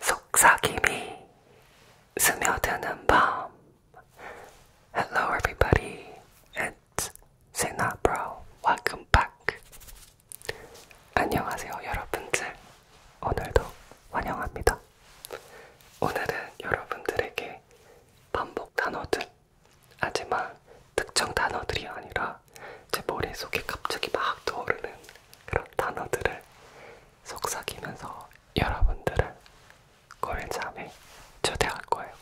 속삭임이 스며드는 밤. Hello, everybody. It's Sena Bro. Welcome back. 안녕하세요, 여러분들. 오늘도 환영합니다. 오늘은 여러분들에게 반복 단어들, 하지만 특정 단어들이 아니라 하다가 제 머릿속에 갑자기 막 떠오르는 그런 단어들을 속삭이면서 여러분들을 꿀잠에 초대할 거예요.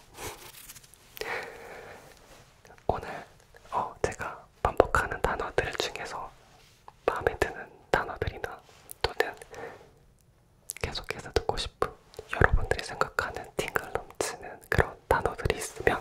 오늘 어, 제가 반복하는 단어들 중에서 마음에 드는 단어들이나 또는 계속해서 듣고 싶은 여러분들이 생각하는 팅글 넘치는 그런 단어들이 있으면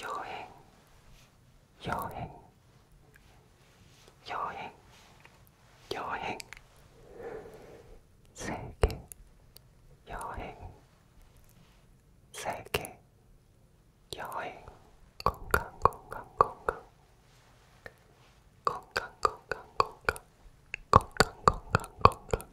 여행, 여행, 여행, 여행, 세계, 여행, 세계, 여행, 건강, 건강, 건강, 건강, 건강, 건강, 건강, 건강, 건강.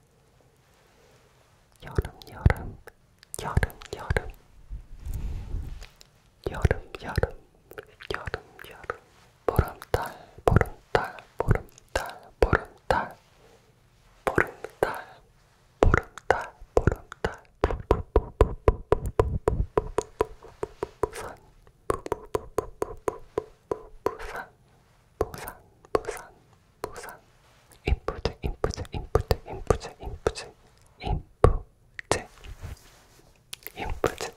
여름 여름 여름 여름 여름 여름 여름 여름 보름달 보름달 보름달 보름달 보름달 보름달 보름달 산 부산 부산 부산 부산 인프제 인프제 인프제 인프제 인프제 인프제 인프제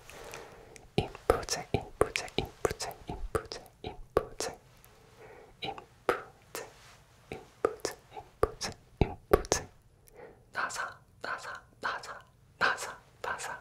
인프제 인프제 인프제 인프제 인프제 인프제 인프제 인프제 인프제 나사 나사 나사 나사 나사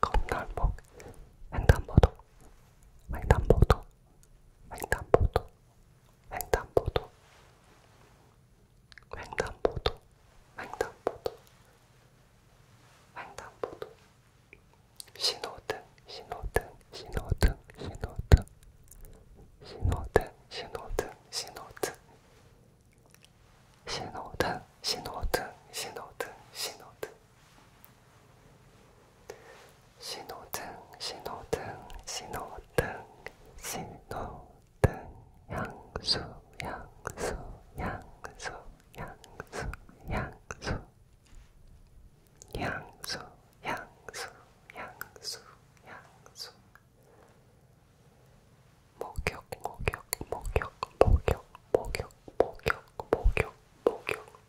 건강복 횡단보도 횡단보도 횡단보도 횡단보도 횡단보도 횡단보도 횡단보도 신호등 신호등 신호등 신호등 신호등 신호등 신호등 신호등 신호등 신호등 신호등 신호등 신호등, 신호등, 신호등, 신호등, 양수, 양수, 양수, 양수, 양수, 양수, 양수, 양수, 양수. 목욕, 목욕, 목욕, 목욕, 목욕, 목욕, 목욕, 목욕,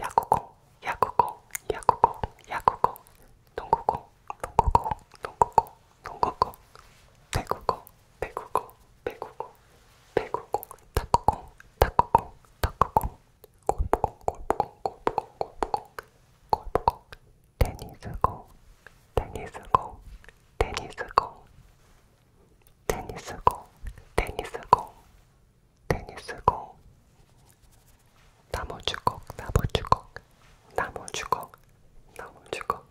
야구공, 야구공, 야구공, 야구공, 농구공, 농구공, 농구공, 농구공, 배구공, 배구공, 배구공, 배구공, 탁구공, 탁구공, 탁구공, 골프공, 골프공, 골프공, 골프공, 골프공, 테니스공, 테니스공, 테니스공, 테니스공, 테니스공. 테니스공, 나무주걱, 나무주걱, 나무주걱, 나무주걱,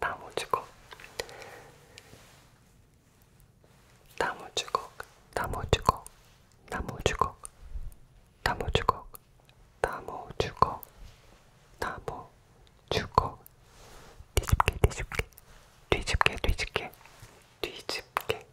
나무주걱, 나무주걱, 나무주걱, 나무주걱, 나무주걱, 나무주걱, 나무주걱, 뒤집게 뒤집게 뒤집게 뒤집게 뒤집게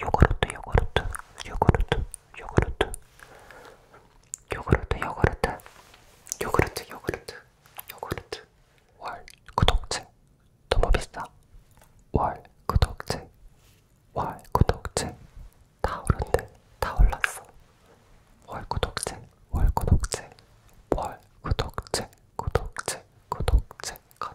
요구르트 요구르트 요구르트 요구르트 요구르트 요구르트 요구르트 요구르트 요구르트 월 구독제 너무 비싸 월 구독제 월 구독제 다 오른데 다 올랐어 월 구독제 월 구독제 월 구독제 구독제 구독제가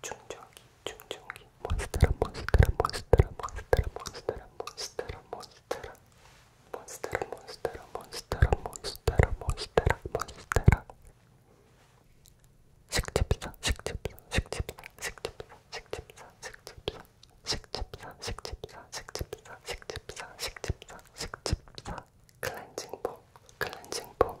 충전기, 충전기, 몬스터라, 몬스터라, 몬스터라, 몬스터라, 몬스터라, 몬스터라, 몬스터라, 몬스터라, 몬스터라, 몬스터라, 몬스터라, 몬스터라, 몬스터라, 식집사, 식집사, 식집사, 식집사, 식집사, 식집사, 식집사, 식집사, 식집사, 식집사, 식집사, 식집사, 클렌징 폼, 클렌징 폼,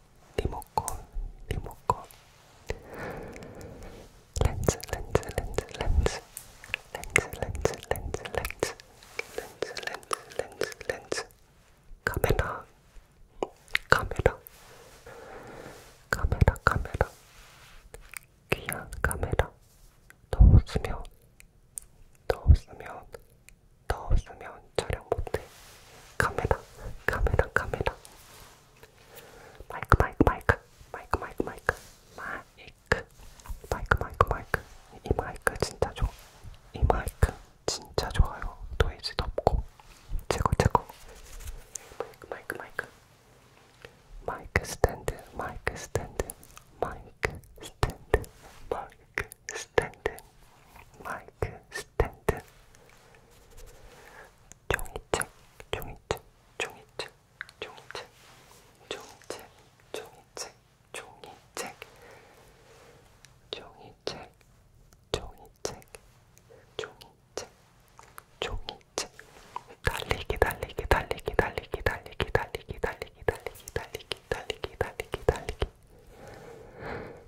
리모컨, 리모컨, 렌즈, 렌즈, 렌즈, 렌즈, 렌즈, 렌즈, 렌즈, 렌즈, 렌즈, 렌즈, 렌즈, 렌즈, 카메라, 카메라, 카메라, 카메라, 귀한 카메라. 더 웃으면, 더 웃으면, 더 없으면 촬영 못해. 카메라, 카메라, 카메라. 마이크, 마이크, 마이크, 마이크, 마이크, 마이크, 마이크, 마이크, 마이크, 마이크. 이 마이크 진짜 좋아. 이 마이크 진짜 좋아요. 노이즈도 없고 최고, 최고. 마이크, 마이크, 마이크. 마이크 스탠드, 마이크 스탠드, 마이크 스탠드, 마이크 스탠드, 마이크 마이크 스탠드 종이책, 종이책, 종이책, 종이책, 종이책, 종이책, 종이책, 종이책, 종이책, 종이책, 종이책, 달리기, 달리기, 달리기, 달리기, 달리기, 달리기, 달리기, 달리기, 달리기, 달리기, 달리기, 달리기,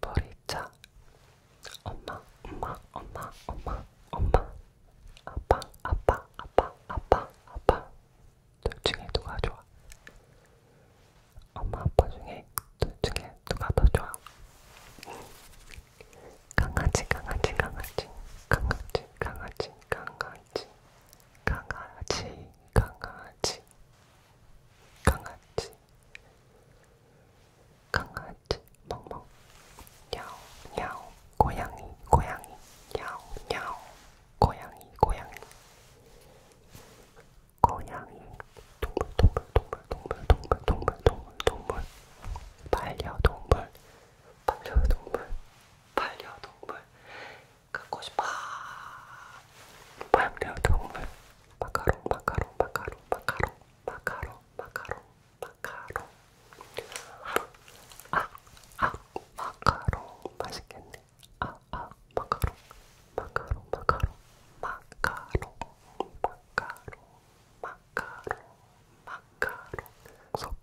보리차 엄마 엄마 엄마 엄마 엄마 아빠 아빠 아빠 아빠 아빠 둘 중에 누가 좋아? 엄마 아빠 중에 둘 중에 누가 더 좋아? 강아지 강아지 강아지 강아지 강아지 강아지 강아지 강아지 강아지 강아지 멍멍 야옹 야옹 고양이 고양이 야옹 야옹 고양이 고양이 고양이 동물 동물 동물 동물 동물 동물 동물 동물 반려동물 반려동물 반려동물 갖고 싶어. 포함되어 동물 마카롱 마카롱 마카롱 마카롱 마카롱 마카롱 마카롱 아아 아, 마카롱 맛있겠네. 아아 아, 마카롱 마카롱 마카롱 마카롱 마카롱 마카롱 마카롱 속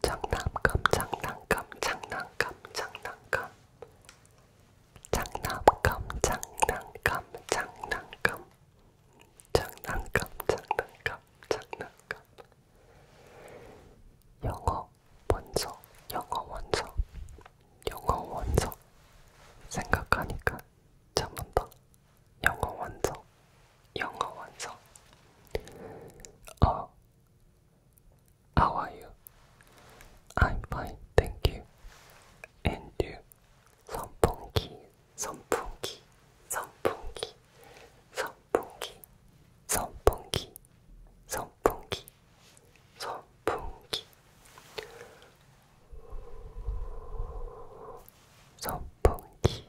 장난감 장난감 장난감 장난감 장난감 장난감 장난감 장난감 장난감 장난감 영어 원서 영어 원서 영어 원서 생각하니까 참은다 영어 원서 영어 완성. 어, how are you? I'm fine, thank you. And you? 선풍기, 선풍기, 선풍기, 선풍기, 선풍기, 선풍기, 선풍기, 선풍기.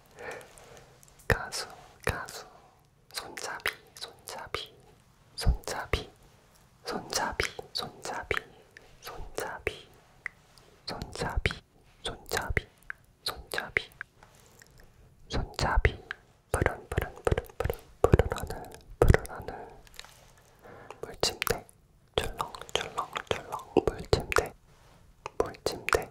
가수, 가수, 손잡이, 손잡이, 손잡이, 손잡이, 손잡이, 손잡이, 손잡이, 손잡이, 손잡이, 손잡이, 푸른 푸른 푸른 푸른 푸른 하늘, 푸른 하늘, 물침대, 출렁출렁출렁 물침대, 물침대.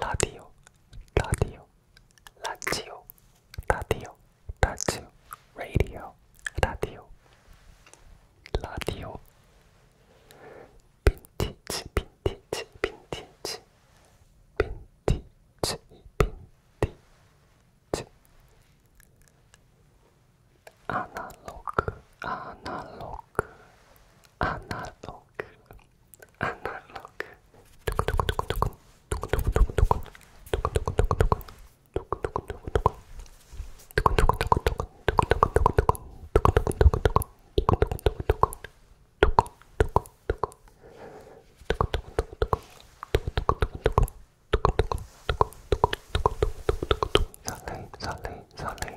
라디오, 라디오, 라지오, 라디오, 라지오, 라디오, 라디오, 라디오, 빈티지, 빈티지, 빈티지, 빈티지, 빈티지, 아날로그, 아날로그. 아날로그 아날로그 두근두근두근두근 두근두근두근두근 두근두근두근두근 두근두근두근두근 두근두근두근두근 두근두근두근두근 두근두근두근두근 두근두근두근두근 두근두근두근 두근두근두근두근 두근두근두근두근 두근두근두근두근 두근두근두근두근 설레임 설레임 설레임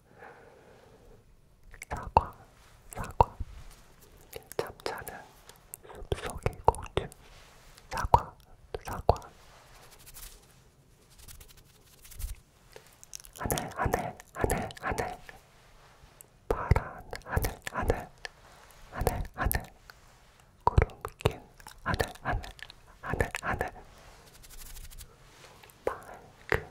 사과, 사과. 잠자는 숲속의 공주. 사과, 사과. 하늘, 하늘, 하늘, 하늘. 파란 하늘, 하늘. 하늘, 하늘. 구름 낀 하늘, 하늘. 하늘, 하늘. 맑은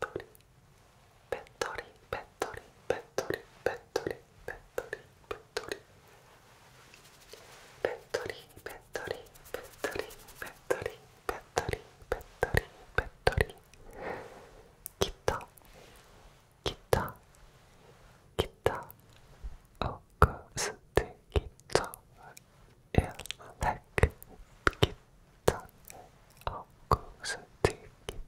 배터리 배터리 배터리 배터리 배터리 배터리 배터리 배터리 배터리 배터리 배터리 배터리 배터리 배터리 기타 기타 기타 어쿠스틱 기타 일렉 기타 어쿠스틱 기타